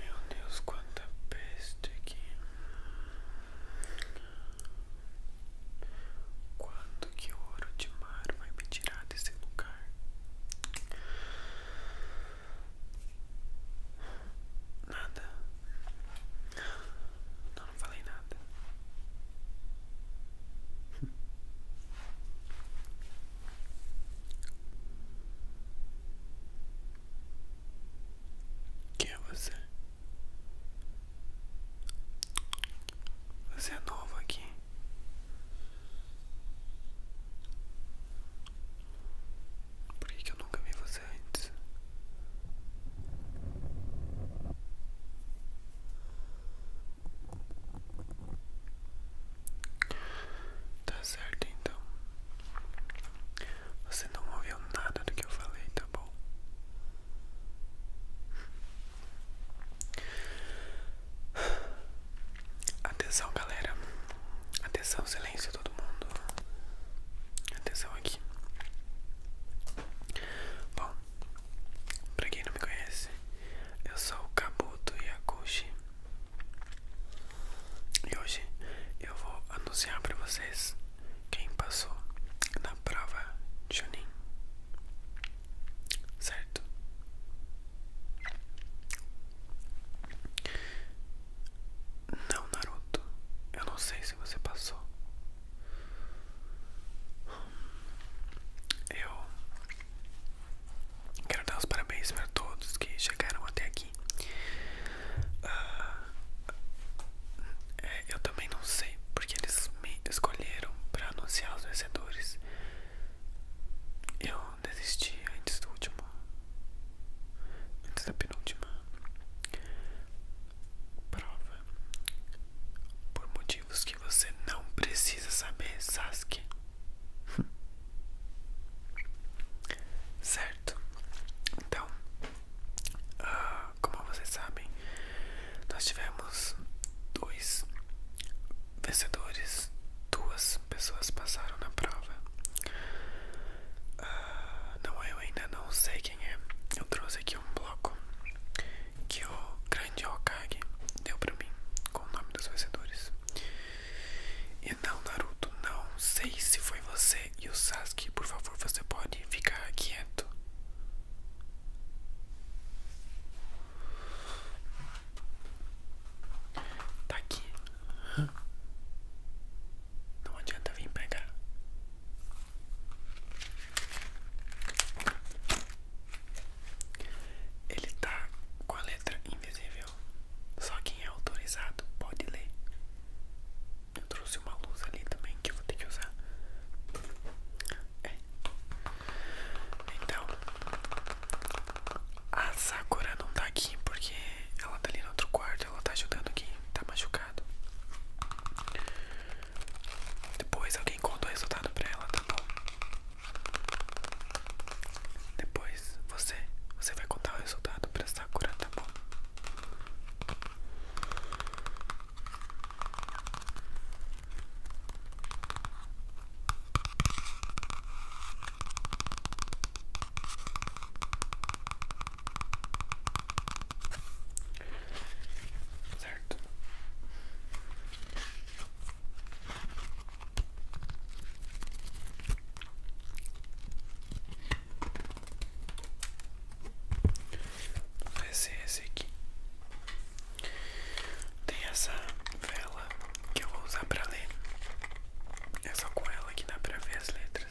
Meu Deus, quanta peste aqui. Quanto que ouro de mar vai me tirar desse lugar? Nada. não falei nada. Quem é você? Você é novo aqui. Por que, eu nunca vi você antes? Tá certo então. Você não ouviu nada do que eu falei, tá bom? Atenção, galera. Atenção, silêncio todo mundo. Atenção aqui. Bom, Pra quem não me conhece, eu sou o Kabuto Yakushi e hoje eu vou anunciar pra vocês quem passou na prova Junin, certo? Não, Naruto, eu não sei se você passou, eu quero dar os parabéns para todos que chegaram até aqui. Ah, é, eu também não sei porque eles me escolheram para anunciar os vencedores. Eu desisti antes do último, antes da penúltima prova por motivos que você não precisa saber, Sasuke. certo? Então, ah, como vocês sabem, nós tivemos dois vencedores, duas pessoas passaram na prova. Ah, não, eu ainda não sei quem é. Eu trouxe aqui um bloco que o grande Hokage deu pra mim com o nome dos vencedores. E não, Naruto, não sei se foi você e o Sasuke, por favor, você pode ficar quieto. Tá aqui. Não adianta vir pegar. Ele tá com a letra invisível. Só quem é autorizado pode ler. Eu trouxe uma luz ali também que eu vou ter que usar. É. Então, a Sakura não tá aqui porque ela tá ali no outro quarto. Ela tá ajudando quem tá machucado. Depois alguém conta o resultado pra ela, tá bom? Depois você, você vai contar o resultado pra Sakura, tá bom? Certo. Vai ser é esse aqui. Tem essa vela que eu vou usar para ler. É só com ela que dá para ver as letras.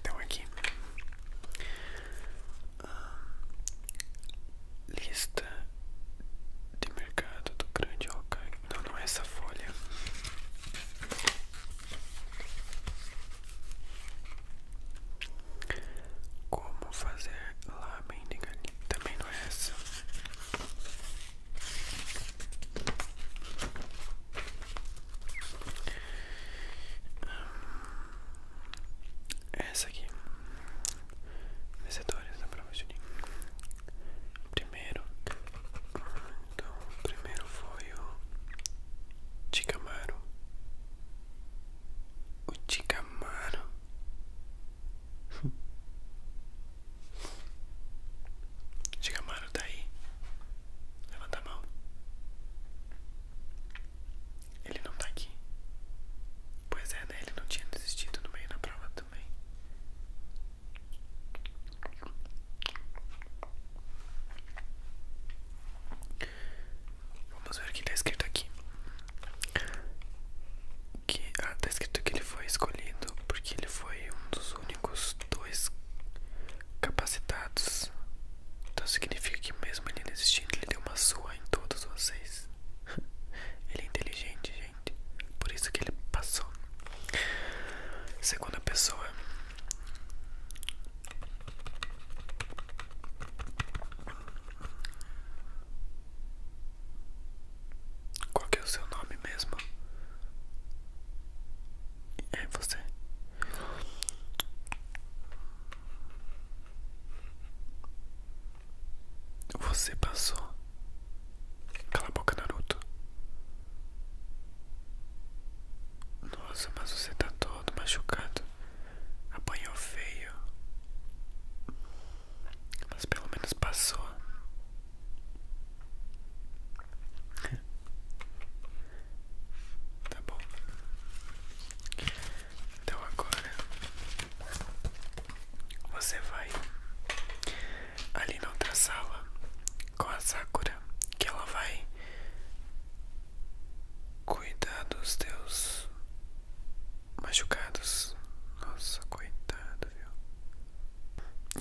Então aqui lista de mercado do grande Hawkeye. Não, não é essa folha. Como fazer lamen de galinha? Também não é essa. Essa aqui, vencedores da prova de Primeiro, então, primeiro foi o Ticamaro. O Ticamaro. Olha, mano. Diga, mano, tá aí. Levanta a mão. Ele não tá aqui. Pois é, né? Ele não tinha desistido no meio da prova também. Vamos ver o que tá escrito aqui que ah, tá escrito que ele foi escolhido porque ele foi um dos únicos dois capacitados. Então significa que mesmo ele não existindo, ele deu uma sua em todos vocês. ele é inteligente, gente. Por isso que ele passou. Segunda pessoa. Qual que é o seu nome mesmo? É você. Você passou. Aquela boca, Naruto. Nossa, mas você está todo machucado. Apanhou feio. Mas pelo menos passou. Tá bom. Então agora você vai ali na outra sala com a Sakura, que ela vai cuidar dos teus machucados. Nossa, coitado, viu?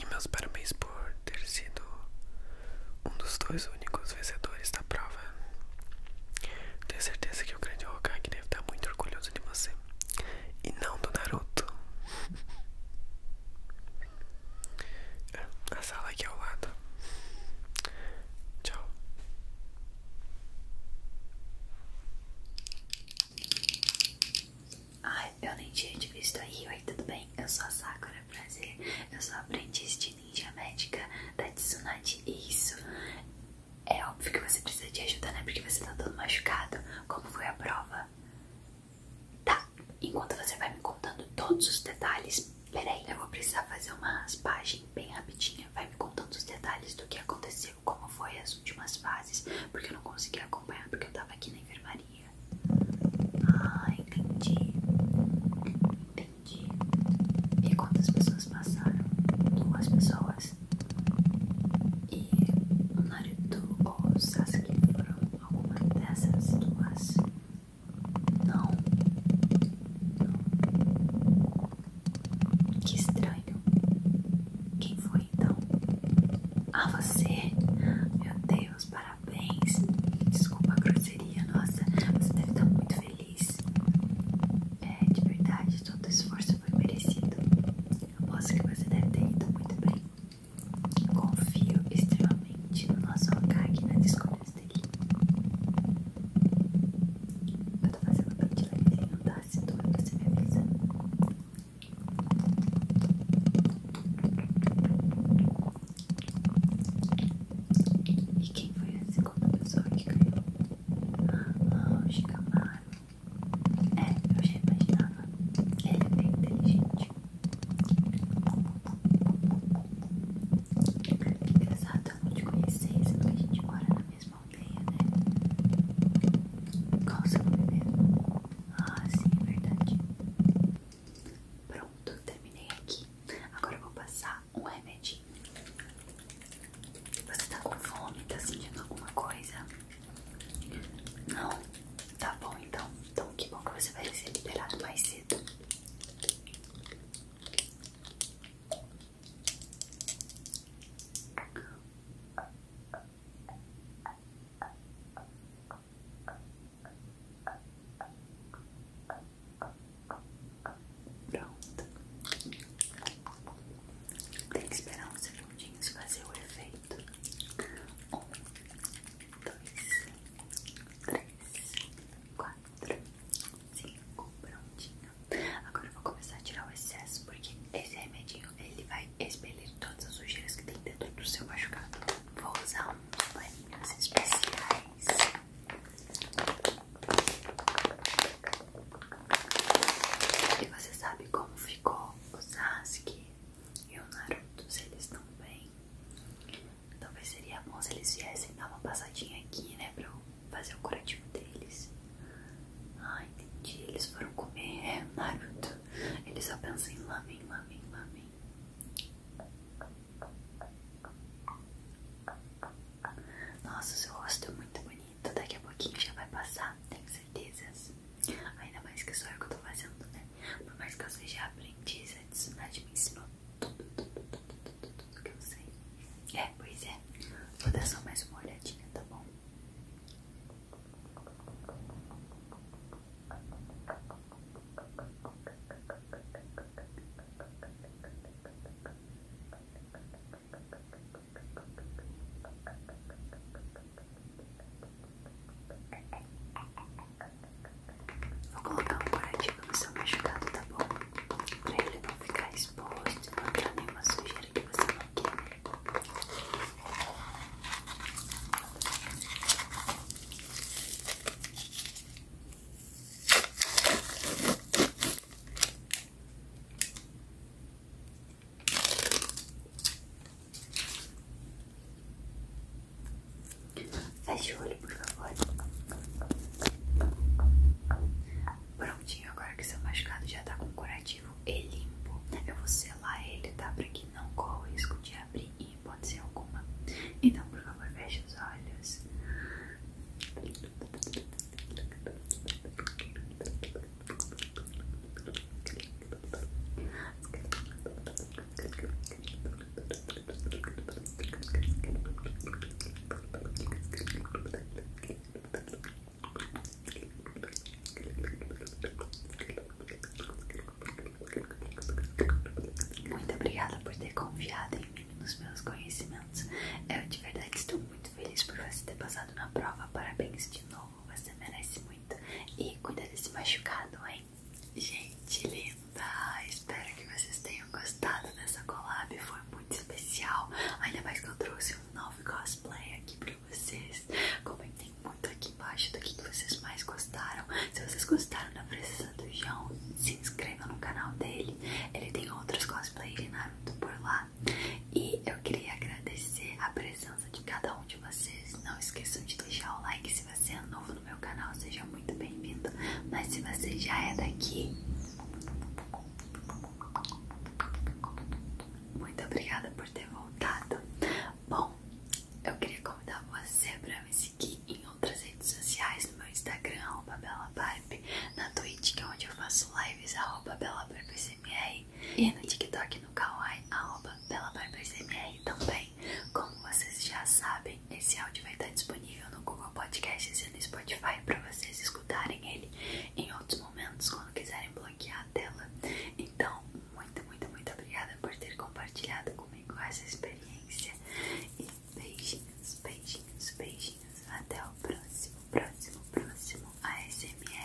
E meus parabéns por ter sido um dos dois únicos vencedores da prova. Tenho certeza que o grande Hokage deve estar muito orgulhoso de você. E não do Naruto. A sala aqui ao lado. Tchau. Ai, eu nem tinha te visto aí, oi, tudo bem? Eu sou a Sakura, prazer. Eu sou aprendiz de ninja médica da Tsunade. Isso. É óbvio que você precisa de ajuda, né? Porque você tá todo machucado. Como foi a prova? Tá, enquanto você vai me contando todos os detalhes mas peraí, eu vou precisar fazer uma raspagem bem rapidinha. Vai me contando os detalhes do que aconteceu, como foi as últimas fases, porque eu não consegui acompanhar porque eu tava aqui na enfermaria. Ah, entendi. Entendi. E quantas pessoas passaram? Duas pessoas. E o Naruto ou o Sasuke foram alguma dessas duas. Não. Não. Que estranho. Quem foi então? Ah, você? Meu Deus, parabéns. Desculpa a grosseria, nossa. Você deve estar muito feliz. É, de verdade, todo o esforço foi merecido. Aposto que você deve ter ido muito bem. Confio extremamente no nosso Hokage na descoberta isso daqui. Eu tô fazendo pra te levezinho, tá? Se doer, você me avisa. E quem foi a segunda pessoa que caiu? Ah, o Chicamaro. É, eu já imaginava. Ele é inteligente. Que engraçado, tanto te conhecesse, porque a gente mora na mesma aldeia, né? Qual o seu nome Ah, sim, é verdade. Pronto, terminei aqui. Agora eu vou passar um remedinho. Você tá com fome? Tá sentindo alguma coisa? Não? Tá bom, então. Então, que bom que você vai ser liberado mais cedo. Pronto. Tem que esperar uns segundinhos fazer o efeito. Um, dois, três, quatro cinco, prontinho. Agora eu vou começar a tirar o excesso, porque esse remedinho ele vai expelir todas as sujeiras que tem dentro do seu machucado. Vou usar uns paninhos especiais. E você sabe como ficou o Sasuke e o Naruto, se eles estão bem. Talvez seria bom se eles viessem dar uma passadinha aqui, né? Pra eu fazer o curativo deles. Ah, entendi. Eles foram comer é, Naruto. Eles só pensam em lamen, lamen, lamen. Nossa, seu rosto é muito bonito. Daqui a pouquinho já vai passar, tenho certezas. Ainda mais que só eu que eu tô fazendo, né? Por mais que eu seja aprendiz, a Tsunade me ensinou tudo, tudo, tudo, tudo, tudo que eu sei. É, pois é. Vou dar só mais uma olhadinha, tá bom? Vou colocar um coradinho no seu machucado, tá bom? Pra ele não ficar exposto e não entrar nenhuma sujeira que você não quer. Feche o olho, por favor. Prontinho, agora que seu machucado já tá com curativo e limpo, eu vou selar ele, tá? Pra que não corra o risco de abrir e pode ser alguma. Então, por favor, feche os olhos. Muito obrigada por ter confiado em mim, nos meus conhecimentos. Eu de verdade estou muito feliz por você ter passado na prova. Parabéns de novo, você merece muito. E cuida desse machucado, hein? Gente linda, espero que vocês tenham gostado dessa collab, foi muito especial. Ainda mais que eu trouxe um novo cosplay aqui pra vocês. Comentem muito aqui embaixo do que vocês mais gostaram. Se vocês gostaram da presença do João, se inscreva no canal dele. Ele tem outros cosplays de Naruto por lá. E eu queria agradecer a presença presença de cada um de vocês. Não esqueçam de deixar o like se você é novo no meu canal, seja muito bem-vindo. Mas se você já é daqui, muito obrigada por ter voltado. Bom, eu queria convidar você para me seguir em outras redes sociais, no meu Instagram, arroba BelaBarbe, na Twitch, que é onde eu faço lives, arroba BelaBarbeCMR, e no TikTok no Kawaii, arroba BelaBarbaSMR também. Como vocês já sabem, esse áudio vai estar disponível no Google Podcasts e no Spotify para vocês escutarem ele em outros momentos quando quiserem bloquear a tela. Então, muito, muito, muito obrigada por ter compartilhado comigo essa experiência. E beijinhos, beijinhos, beijinhos. Até o próximo, próximo, próximo A ASMR.